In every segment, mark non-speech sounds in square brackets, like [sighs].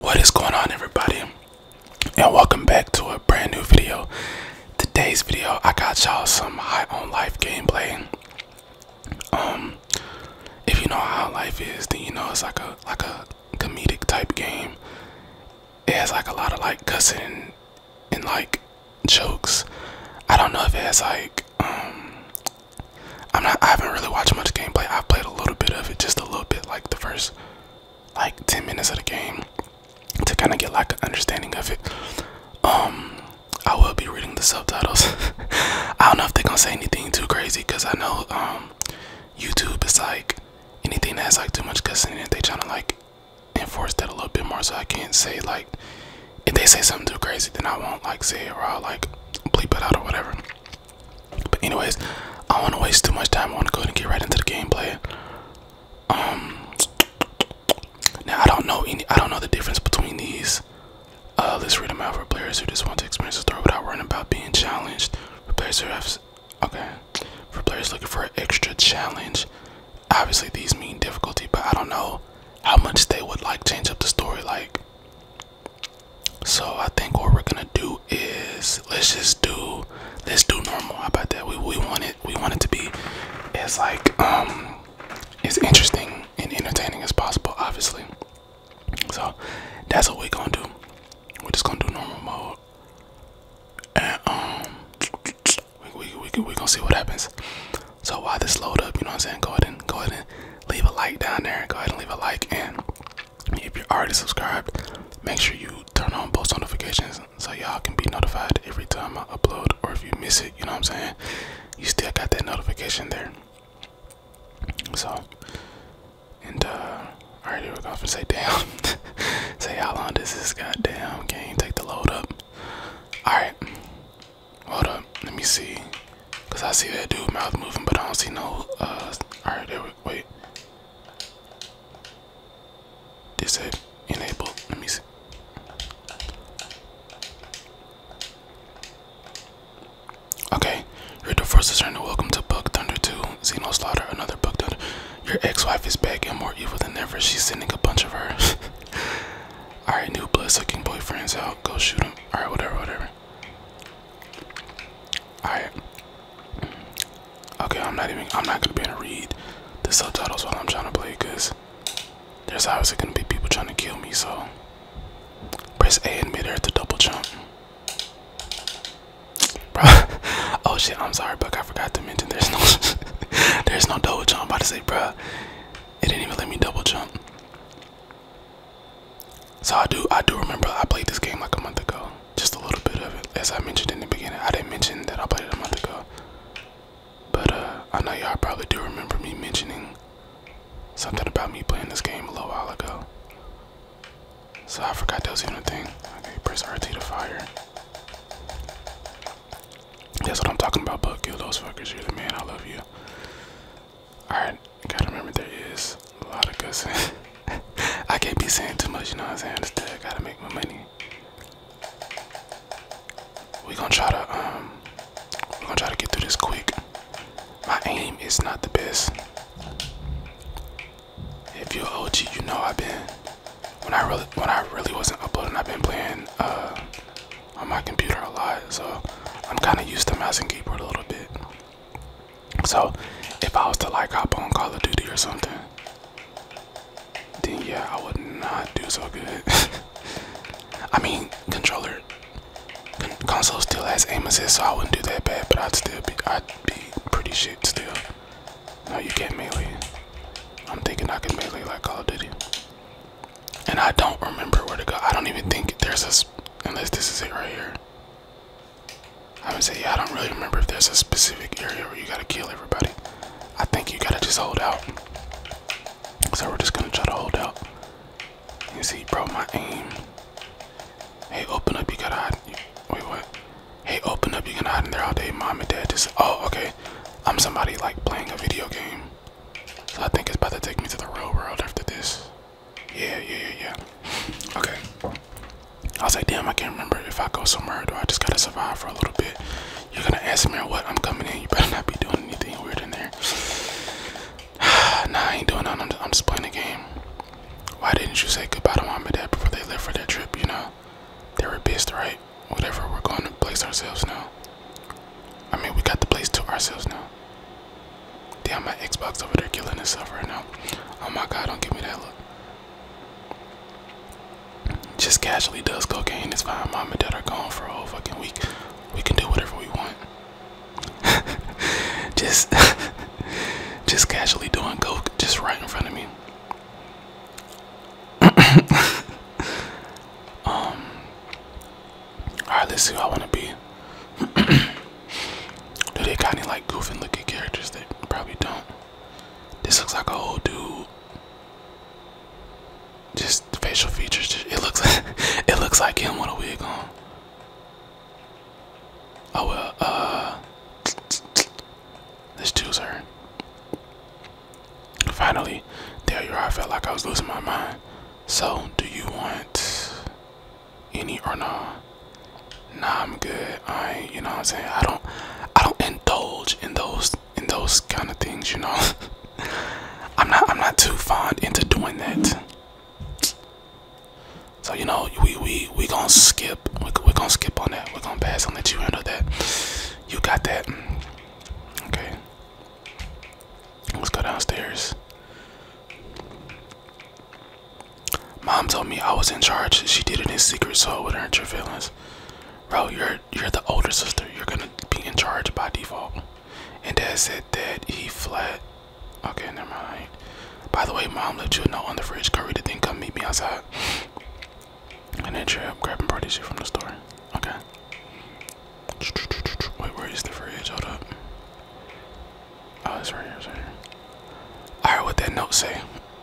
What is going on everybody and welcome back to a brand new video. Today's video I got y'all some high own life gameplay. Um if you know how life is then you know it's like a like a comedic type game. It has like a lot of like cussing and like jokes. I don't know if it has like um I'm not I haven't really watched much gameplay. I've played a little bit of it, just a little bit like the first like 10 minutes of the game to kind of get like an understanding of it. Um, I will be reading the subtitles. [laughs] I don't know if they're gonna say anything too crazy because I know um YouTube is like anything that's like too much cussing in it, they trying to like enforce that a little bit more so I can't say like if they say something too crazy then I won't like say it or I'll like bleep it out or whatever. But anyways, I don't want to waste too much time. I want to go ahead and get right into the gameplay. Um, now I don't know I don't know the difference between these. Uh, let's read them out for players who just want to experience the story without worrying about being challenged. For players who have, okay, for players looking for an extra challenge. Obviously, these mean difficulty, but I don't know how much they would like change up the story. Like, so I think what we're gonna do is let's just do let's do normal. about that? We we want it we want it to be as like um as interesting and entertaining as possible, obviously. So that's what we're gonna do. We're just gonna do normal mode. And um we we we we gonna see what happens. So while this load up, you know what I'm saying? Go ahead and go ahead and leave a like down there. Go ahead and leave a like and if you're already subscribed, make sure you turn on post notifications so y'all can be notified every time I upload. Or if you miss it, you know what I'm saying? You still got that notification there. So, and uh, alright, here we go. And say, damn, [laughs] say how long does this goddamn game take to load up? Alright, hold up, let me see. Cause I see that dude mouth moving, but I don't see no. Uh, alright, there we wait. Disable, enable, let me see. Okay, you're the first discerner. Welcome to Book Thunder 2. Xeno Slaughter, another Book Thunder. Your ex wife is back and more evil than ever. She's sending a bunch of her. [laughs] Alright, new blood sucking boyfriend's out. Go shoot them. Alright, whatever, whatever. Alright. Okay, I'm not even I'm not gonna be able to read the subtitles while I'm trying to play because there's obviously gonna be people trying to kill me, so press A in midair to double jump. Bro [laughs] Oh shit, I'm sorry, Buck, I forgot to mention there's no [laughs] there's no double jump. about to say, bro, it didn't even let me double jump. So I do I do remember I played this game like a month ago. Just a little bit of it. As I mentioned in the beginning. I didn't mention that I played it a month ago. But uh I know y'all probably do remember me mentioning something about me playing this game a little while ago. So I forgot that was even a thing. Okay, press RT to fire. That's what I'm talking about, but kill those fuckers. You're the man. I love you. Alright, gotta remember there is a lot of good sense. [laughs] I can't be saying too much, you know what I'm saying? I gotta make my money. we gonna try to um we gonna try to get through this quick. My aim is not the best. If you're OG, you know I've been when I really when I really wasn't uploading, I've been playing uh, on my computer a lot, so I'm kinda used to mouse and keyboard a little bit. So if I was to like hop on Call of Duty or something, then yeah, I would not do so good. [laughs] I mean, controller, con console still has aim so I wouldn't do that bad, but I'd still be, I'd be pretty shit still. No, you can't melee. I'm thinking I can melee like Call of Duty. And I don't remember where to go. I don't even think there's a, unless this is it right here. I would say, yeah, I don't really remember if there's a specific area where you gotta kill everybody. I think you gotta just hold out. So we're just gonna try to hold out. You see, bro, my aim. Hey, open up, you gotta hide. Wait, what? Hey, open up, you can hide in there all day. Mom and dad just, oh, okay. I'm somebody like playing a video game. So I think it's about to take me to the real world after this. Yeah, yeah, yeah, yeah. Okay. I was like, damn, I can't remember if I go somewhere or I just gotta survive for a little bit. You're gonna ask me what I'm coming in. You better not be doing anything weird in there. [sighs] nah, I ain't doing nothing. I'm, just playing the game. Why didn't you say goodbye to mom dad before they left for their trip? You know, they were pissed, right? Whatever, we're going to place ourselves now. I mean, we got the place to ourselves now. Damn, my Xbox over there killing itself right now. Oh my god, don't give me that look. Just casually does cocaine. It's fine. Mom and dad are gone for a whole fucking week. We can do whatever we want. [laughs] just, [laughs] just casually doing coke, just right in front of me. [coughs] um. All right, let's see who I want to be. [coughs] Do they kind of like goofing looking characters? that probably don't. This looks like a old dude. Just facial features. it looks. [laughs] it looks like him with a wig on. Oh well. Uh, let's choose her. Finally, there you are. I felt like I was losing my mind. So, do you want? any or nah? Nah, I'm good. I you know what I'm saying? I don't I don't indulge in those in those kind of things, you know. [laughs] I'm not I'm not too fond into doing that. So you know, we we we gonna skip we are gonna skip on that. We're gonna pass and let you handle that. You got that. Okay. Let's go downstairs. Mom told me I was in charge. She did it in secret so I wouldn't hurt your feelings. Bro, you're you're the older sister. You're gonna be in charge by default. And Dad said that he fled. Okay, never mind. By the way, Mom left you a note on the fridge. Karita didn't come meet me outside. And then trip grabbing party shit from the store. Okay. Wait, where is the fridge? Hold up. Oh, it's right here, it's right here. I heard what that note say. [coughs]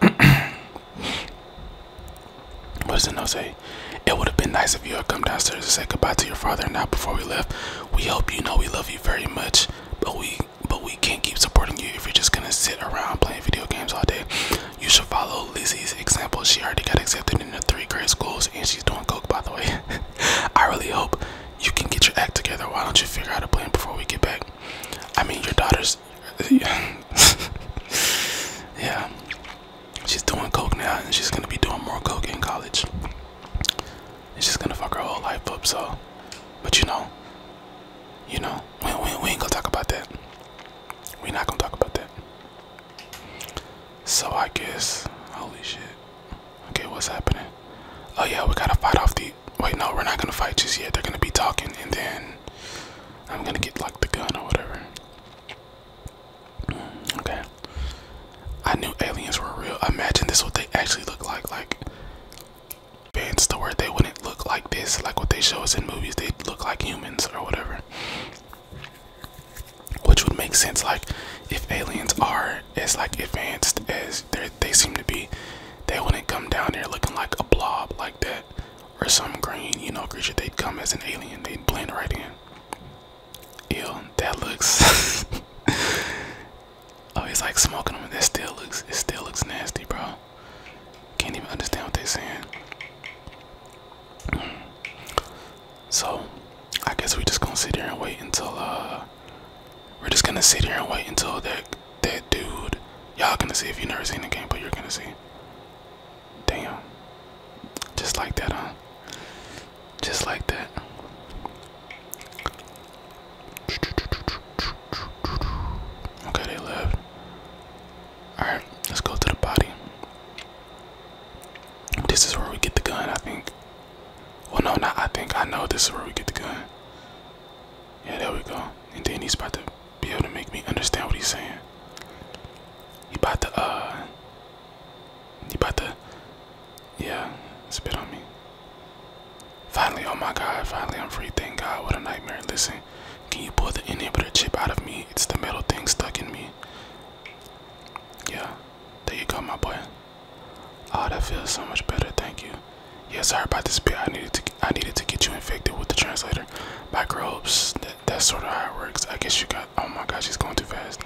what does the note say? It would have been nice if you had come downstairs to say goodbye to your father and now before we left. We hope you know we love you very much, but we but we can't keep supporting you if you're just gonna sit around playing video games all day. You should follow Lizzie's example. She already got accepted into three grade schools and she's doing coke by the way. [laughs] I really hope you can get your act together. Why don't you figure out a plan before we get back? I mean, your daughter's. [laughs] yeah. She's doing coke now, and she's gonna be doing more coke in college. It's just gonna fuck her whole life up. So, but you know, you know, we, we, we ain't gonna talk about that. We're not gonna talk about that. So I guess, holy shit. Okay, what's happening? Oh yeah, we gotta fight off the Wait, no, we're not gonna fight just yet. They're gonna be talking, and then I'm gonna get like the gun or whatever. Mm, okay. I knew aliens were real. Imagine this what they actually look like. Like fans to where they wouldn't look like this, like what they show us in movies, they look like humans or whatever. Which would make sense, like if aliens are as like advanced as they seem to be, they wouldn't come down here looking like a blob like that or some green, you know, creature. They'd come as an alien. They'd blend right in. Ew, that looks. [laughs] oh, he's like smoking them. That still looks. It still looks nasty, bro. Can't even understand what they're saying. [clears throat] so, I guess we just gonna sit there and wait until uh we're just gonna sit here and wait until that that dude. Y'all gonna see if you never seen the game, but you're gonna see. Damn. Just like that, huh? Just like that. Okay, they left. Alright, let's go to the body. This is where we get the gun, I think. Well, no, no. I think. I know this is where we get the gun. Yeah, there we go. And then he's about to be able to make me understand what he's saying. He about to, uh, he about to, yeah, spit on me. Finally, oh my God, finally I'm free. Thank God, what a nightmare. Listen, can you pull the inhibitor chip out of me? It's the metal thing stuck in me. Yeah, there you go, my boy. Oh, that feels so much better. Thank you. Yeah, sorry about this bit. I needed to I needed to get you infected with the translator. Microbes. that's sort of how it works. I guess you got. Oh my gosh, she's going too fast.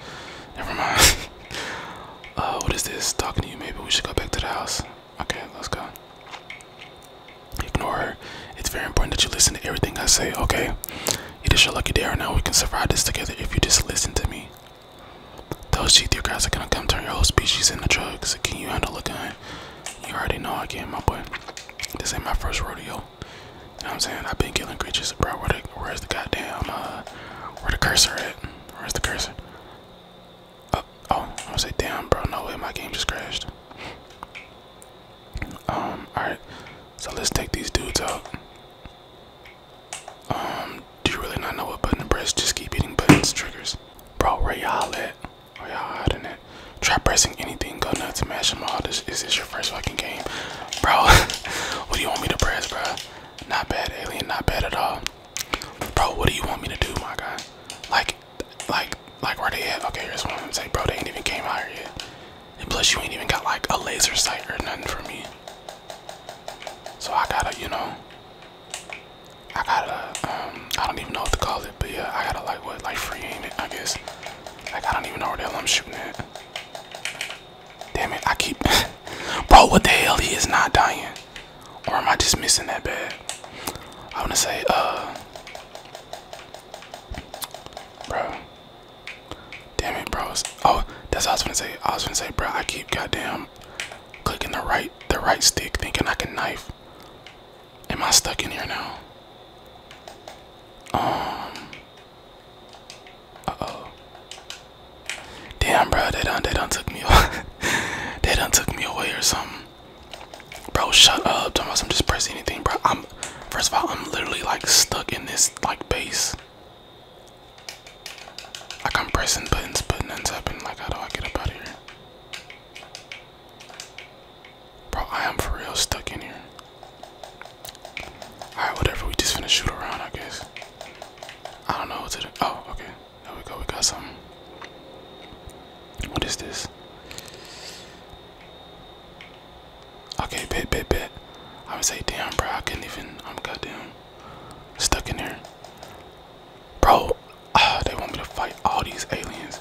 Never mind. [laughs] uh, what is this? Talking to you. Maybe we should go back to the house. Okay, let's go. Ignore her. It's very important that you listen to everything I say. Okay. It is your lucky day right now. We can survive this together if you just listen to me. Those G3 guys are gonna come turn your whole species into drugs. Can you handle a You already know I can, my boy. This ain't my first rodeo. You know what I'm saying? I've been killing creatures, bro. Where the, where's the goddamn, uh, where the cursor at? Where's the cursor? Uh, oh, I was like, damn, bro, no way, my game just crashed. Um, alright, so let's take these dudes out. Um, do you really not know what button to press? Just keep hitting buttons, triggers. Bro, where y'all at? Where y'all hiding at? Try pressing anything, go to mash them all. This, is this your first fucking game? Bro, [laughs] what do you want me to press, bro? Not bad, alien, not bad at all. Bro, what do you want me to do, my guy? Like, like, like where they at? Okay, here's what I'm saying, bro. They ain't even came higher yet. And plus, you ain't even got like a laser sight or nothing for me. So I gotta, you know, I got a, um, I don't even know what to call it, but yeah, I got a like what, like free ain't it, I guess. Like I don't even know where the hell I'm shooting at. Damn it, I keep, [laughs] bro, what the hell? He is not dying, or am I just missing that bad? I wanna say, uh, bro. Damn it, bros. Oh, that's what I was gonna say. I was gonna say, bro, I keep goddamn clicking the right the right stick thinking I can knife. Am I stuck in here now? Um Uh-oh. Damn bro, they done they done took me [laughs] they done took me away or something. Bro, shut up. Don't I'm just press anything, bro. I'm first of all I'm literally like stuck in this like base. Like I'm pressing buttons, buttons and tapping. Like, how do I get up out here? Bro, I am for real stuck in here. Alright, whatever. We just finna shoot around, I guess. I don't know what to do. Oh, okay. There we go. We got something. What is this? Okay, bit, bit, bit. I would say, damn, bro. I couldn't even. I'm goddamn stuck in here. Bro, ah, they want me to fight all these aliens,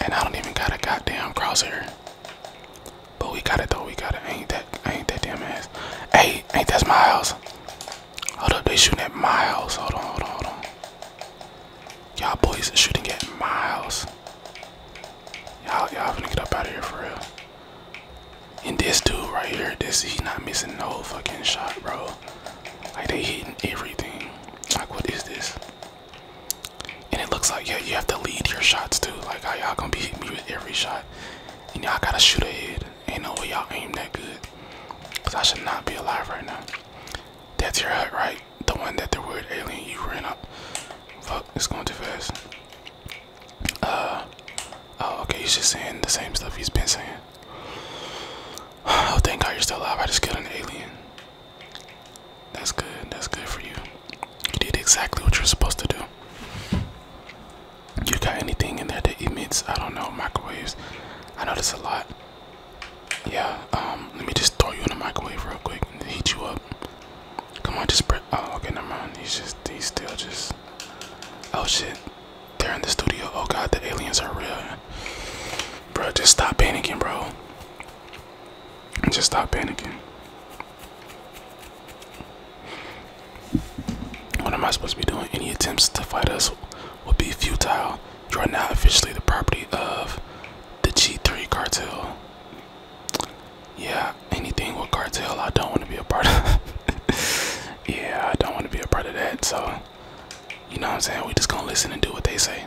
and I don't even got a goddamn crosshair. But we got it though. We got it. Ain't that? Ain't that damn ass? Hey, ain't that's my house? Hold up, they shooting at my house. Hold on, hold on, hold on. Y'all boys shooting at my house. Y'all, y'all gonna get up out of here for real. And this dude right here, this he not missing no fucking shot, bro. Like they hitting everything. Like what is this? And it looks like yeah, you have to lead your shots too. Like how y'all gonna be hitting me with every shot? And y'all gotta shoot ahead. Ain't no y'all aim that good. Cause I should not be alive right now. That's your hut, right? The one that the word alien you ran up. Fuck, it's going too fast. Uh, oh, okay, he's just saying the same stuff he's been saying. Oh, thank God you're still alive. I just killed an alien. That's good. That's good for you. You did exactly what you're supposed to do. You got anything in there that emits? I don't know. Microwaves. I know there's a lot. Yeah. Um. Let me just throw you in the microwave real quick and heat you up. Come on, just spread. Oh, okay, never mind. He's just. He's still just. Oh shit. They're in the studio. Oh god, the aliens are real. Bro, just stop panicking, bro. Just stop panicking. What am I supposed to be doing? Any attempts to fight us will be futile. You are now officially the property of the G3 cartel. Yeah, anything with cartel, I don't want to be a part of. [laughs] yeah, I don't want to be a part of that. So you know what I'm saying? We just gonna listen and do what they say.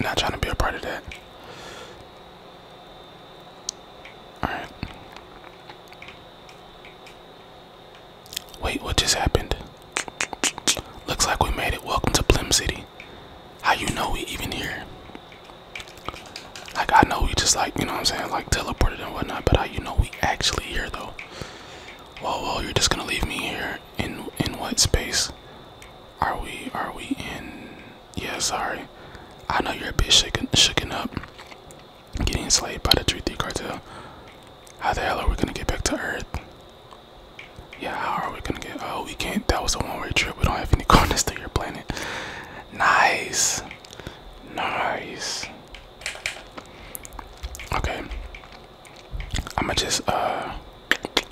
not trying to be a part of that. Alright. Wait, what just happened? Looks like we made it. Welcome to Blim City. How you know we even here? Like, I know we just like, you know what I'm saying, like teleported and whatnot, but how you know we actually here though? Whoa, whoa, you're just gonna leave me here in in what space? Are we are we in? Yeah, sorry. I know you're a bit shaken shaken up, getting enslaved by the Truthy cartel. How the hell are we gonna get back to Earth? Yeah, how are we gonna get? Oh, we can't. That was a one-way trip. We don't have any quarters [laughs] to your planet. Nice, nice. Okay, I'ma just uh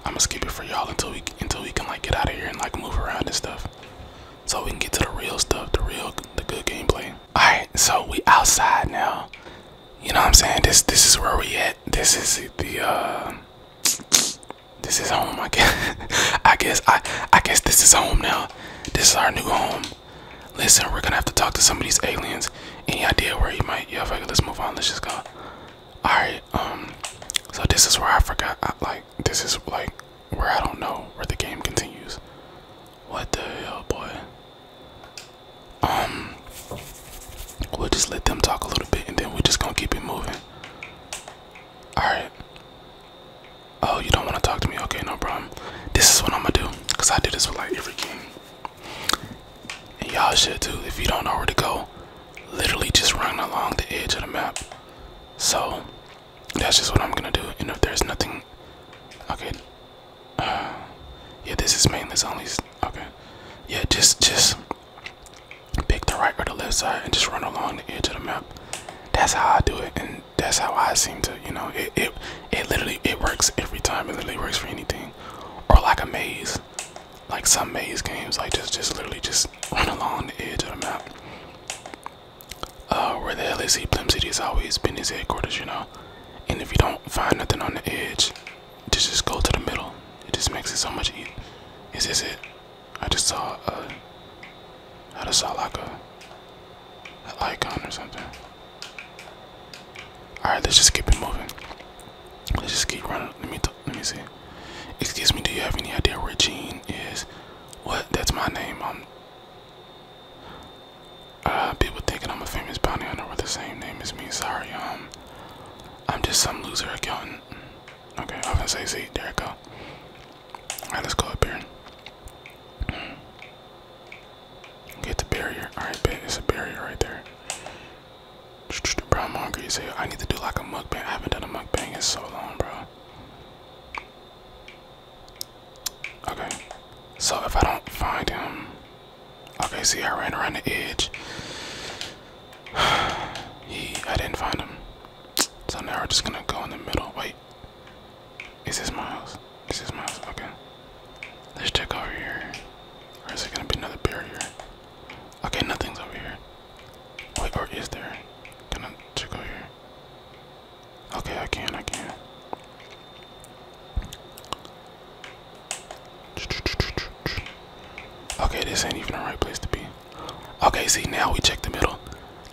I'ma skip it for y'all until we until we can like get out of here and like move around and stuff. So we can get to the real stuff, the real the good gameplay. Alright, so we outside now. You know what I'm saying? This this is where we at. This is the uh this is home I guess [laughs] I guess I I guess this is home now. This is our new home. Listen, we're gonna have to talk to some of these aliens any idea where he might? Yeah, let's move on. Let's just go. Alright, um, so this is where I forgot. like, this is like where I don't know where the game continues. What the hell, boy? Um, we'll just let them talk a little bit and then we're just gonna keep it moving. Alright. Oh, you don't want to talk to me? Okay, no problem. This is what I'm gonna do because I do this for like every game. And y'all should too. If you don't know where to go, literally just run along the edge of the map. So that's just what I'm gonna do. And if there's nothing, okay. Uh, yeah, this is mainless only. Okay. Yeah, just just pick the right or the left side and just run along the edge of the map. That's how I do it, and that's how I seem to. You know, it it it literally it works every time. It literally works for anything or like a maze like some maze games like just just literally just run along the edge of the map uh, where the hell is he blim city's always been his headquarters you know and if you don't find nothing on the edge just just go to the middle it just makes it so much easier is this it i just saw uh i just saw like a icon or something all right, let's just keep it moving. Let's just keep running. Let me let me see. Excuse me, do you have any idea where Gene is? What? That's my name. Um. Uh, people thinking I'm a famous bounty hunter with the same name as me. Sorry. Um, I'm just some loser accountant. Okay, I am gonna say, see, there we go. All right, let's go up here. Get the barrier. Alright, bet. It's a barrier right there. Bro, I'm hungry I need to do like a mukbang. I haven't done a mukbang in so long, bro. Okay. So if I don't find him. Okay, see, I ran around the edge. [sighs] he, I didn't find him. So now we're just gonna go in the middle. Wait. Is this Miles? Is this Miles? Okay. Let's check over here. Or is it gonna be another barrier? Okay, nothing's over here. Wait, or is there? Gonna check over here? Okay, I can, I can. Okay, this ain't even the right place to be. Okay, see, now we check the middle.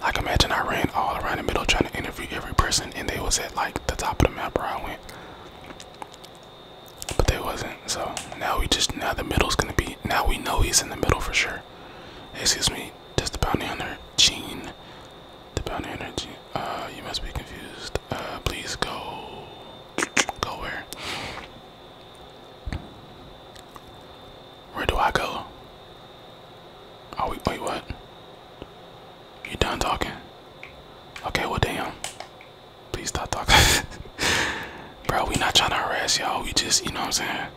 Like, imagine I ran all around the middle trying to interview every person, and they was at like the top of the map where I went but they wasn't. So now we just now the middle's gonna be. Now we know he's in the middle for sure. Excuse me. Just the bounty hunter Gene? The bounty hunter Uh, you must be confused. Uh, please go. Go where? Where do I go? Oh wait, wait, what? You done talking? Okay, well damn. Please stop talking. [laughs] Bro, we not trying to harass y'all. We just, you know what I'm saying?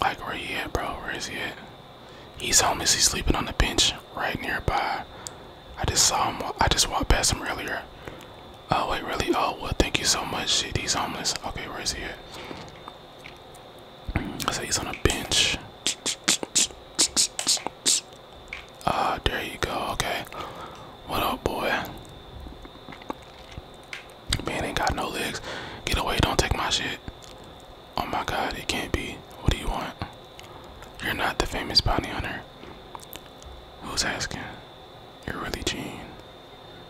Like, where he at, bro? Where is he at? He's homeless. He's sleeping on the bench right nearby. I just saw him. I just walked past him earlier. Oh, wait, really? Oh, well, thank you so much. Shit, he's homeless. Okay, where is he at? I so said he's on a bench. Yes. Ah, there you go. Okay. What up, boy? Man ain't got no legs. Get away. Don't take my shit. Oh my god, it can't be. What do you want? You're not the famous bounty hunter. Who's asking? You're really Gene.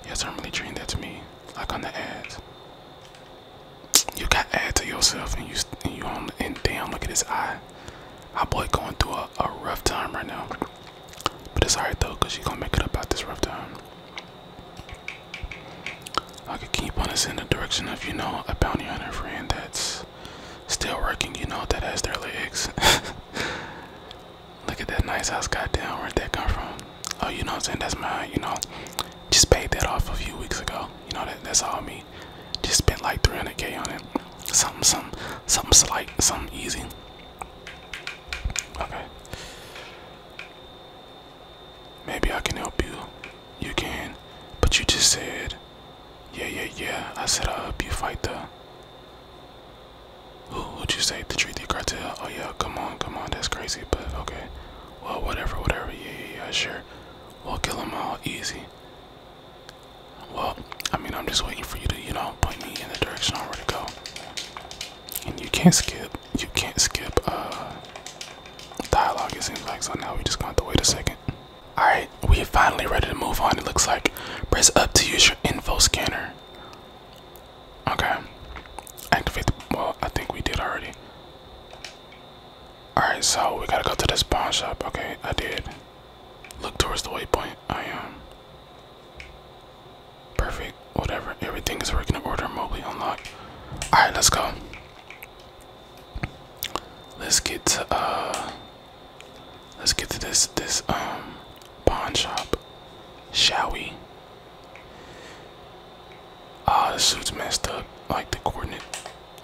Yes, I'm really Gene. That's me. Like on the ads you got to add to yourself and you and you on and damn look at his eye. My boy going through a, rough time right now. But it's alright though, cause you gonna make it up out this rough time. I could keep on us in the direction of you know a bounty hunter friend that's still working, you know, that has their legs. [laughs] Look at that nice house, goddamn, where'd that come from? Oh, you know I'm saying? That's my, you know. Just paid that off a few weeks ago. You know, that that's all me. Just spent like 300k on it. Something, something, something slight, something easy. Okay. Maybe I can help you. You can, but you just said, yeah, yeah, yeah. I said I'll uh, help you fight the. Who would you say the treaty cartel? Oh yeah, come on, come on. That's crazy, but okay. Well, whatever, whatever. Yeah, yeah, yeah. Sure, we'll kill them all easy. Well, I mean, I'm just waiting for you to, you know, point me in the direction I'm ready to go. And you can't skip. You can't skip uh, dialogue, it seems like. So now we just going to wait a second. Alright, we finally ready to move on. It looks like press up to use your info scanner. Okay. Activate the. Well, I think we did already. Alright, so we gotta go to this pawn shop. Okay, I did. Look towards the waypoint. I am. Um, perfect. Whatever. Everything is working in order. Mobile unlocked. Alright, let's go. Let's get to uh let's get to this this um pawn shop. Shall we? Ah, the suit's messed up, like the coordinate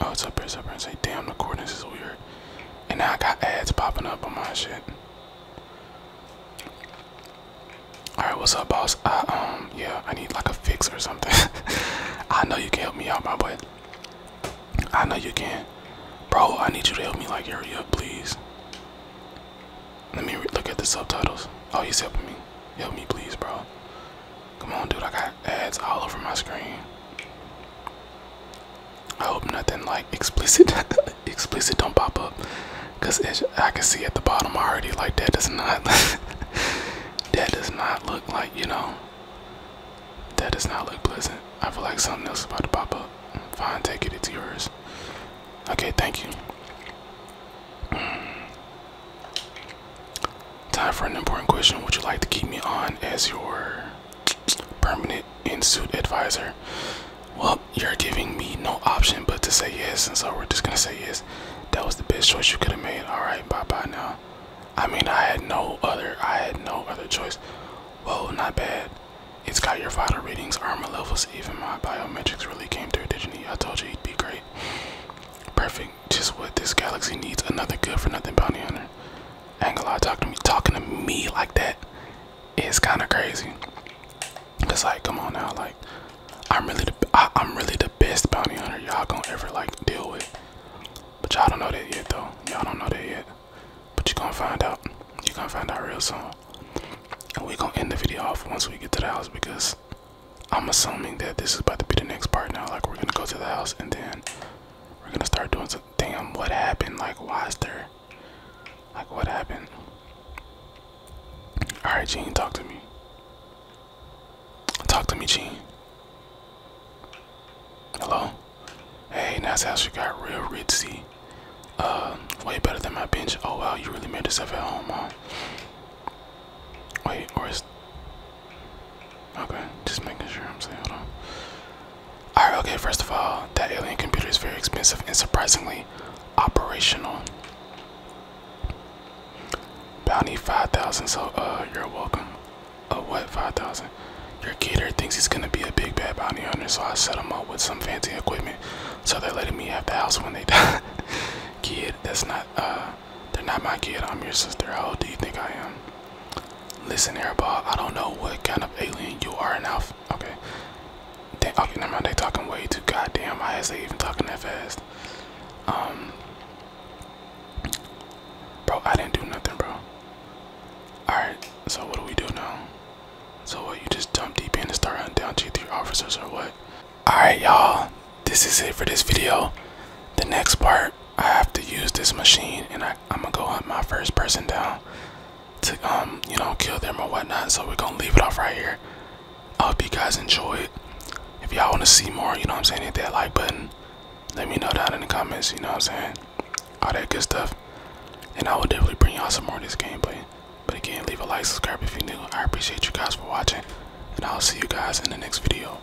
Oh, it's up here, it's up here. And say, damn, the coordinates is weird. And now I got ads popping up on my shit. Alright, what's up, boss? I, um, yeah, I need like a fix or something. [laughs] I know you can help me out, my boy. I know you can. Bro, I need you to help me, like, hurry up, please. Let me look at the subtitles. Oh, he's helping me. Help me, please, bro. Come on, dude, I got ads all over my screen. I hope nothing like explicit, [laughs] explicit don't pop up. Cause as I can see at the bottom already, like that does not, [laughs] that does not look like, you know, that does not look pleasant. I feel like something else about to pop up. Fine, take it, it's yours. Okay, thank you. Time for an important question. Would you like to keep me on as your permanent in suit advisor? Well, you're giving me no option but to say yes, and so we're just gonna say yes. That was the best choice you could have made. All right, bye bye now. I mean, I had no other, I had no other choice. Whoa, not bad. It's got your vital readings, armor levels, even my biometrics really came through, didn't he? I told you it would be great. Perfect just what this galaxy needs another good for nothing bounty hunter. Ain't gonna talk to me, talking to me like that is kind of crazy. Cause like, come on now, like I'm really the I'm really the best bounty hunter y'all gonna ever like deal with. But y'all don't know that yet though. Y'all don't know that yet. But you gonna find out. You gonna find out real soon. And we gonna end the video off once we get to the house because I'm assuming that this is about to be the next part now. Like we're gonna go to the house and then. We're gonna start doing some damn what happened? Like why is there like what happened? Alright Gene, talk to me. Talk to me, Gene. Hello? Hey, that's how she got real ritzy. Uh, way better than my bench. Oh wow, you really made yourself at home, huh? Wait, or is Okay, just making sure I'm saying, hold on. Alright, okay, first of all, that alien computer is very expensive and surprisingly operational. Bounty 5,000, so uh, you're welcome. Uh, what, 5,000? Your caterer thinks he's gonna be a big bad bounty hunter, so I set him up with some fancy equipment. So they're letting me have the house when they [laughs] die. Kid, that's not, uh, they're not my kid. I'm your sister. How old do you think I am? Listen, Airball. I don't know what kind of alien you are Enough. Okay. They, okay, never mind. They talking way too goddamn high. Is they even talking that fast? Um, bro, I didn't do nothing, bro. All right. So what do we do now? So what? You just jump deep in and start hunting down G3 officers, or what? All right, y'all. This is it for this video. The next part I have to use this machine, and I, I'm gonna go hunt my first person down to um you know kill them or whatnot. So we're gonna leave it off right here. I hope you guys enjoyed. If y'all wanna see more, you know what I'm saying, hit that like button. Let me know down in the comments. You know what I'm saying, all that good stuff. And I will definitely bring y'all some more of this gameplay. But again, leave a like, subscribe if you're new. I appreciate you guys for watching, and I'll see you guys in the next video.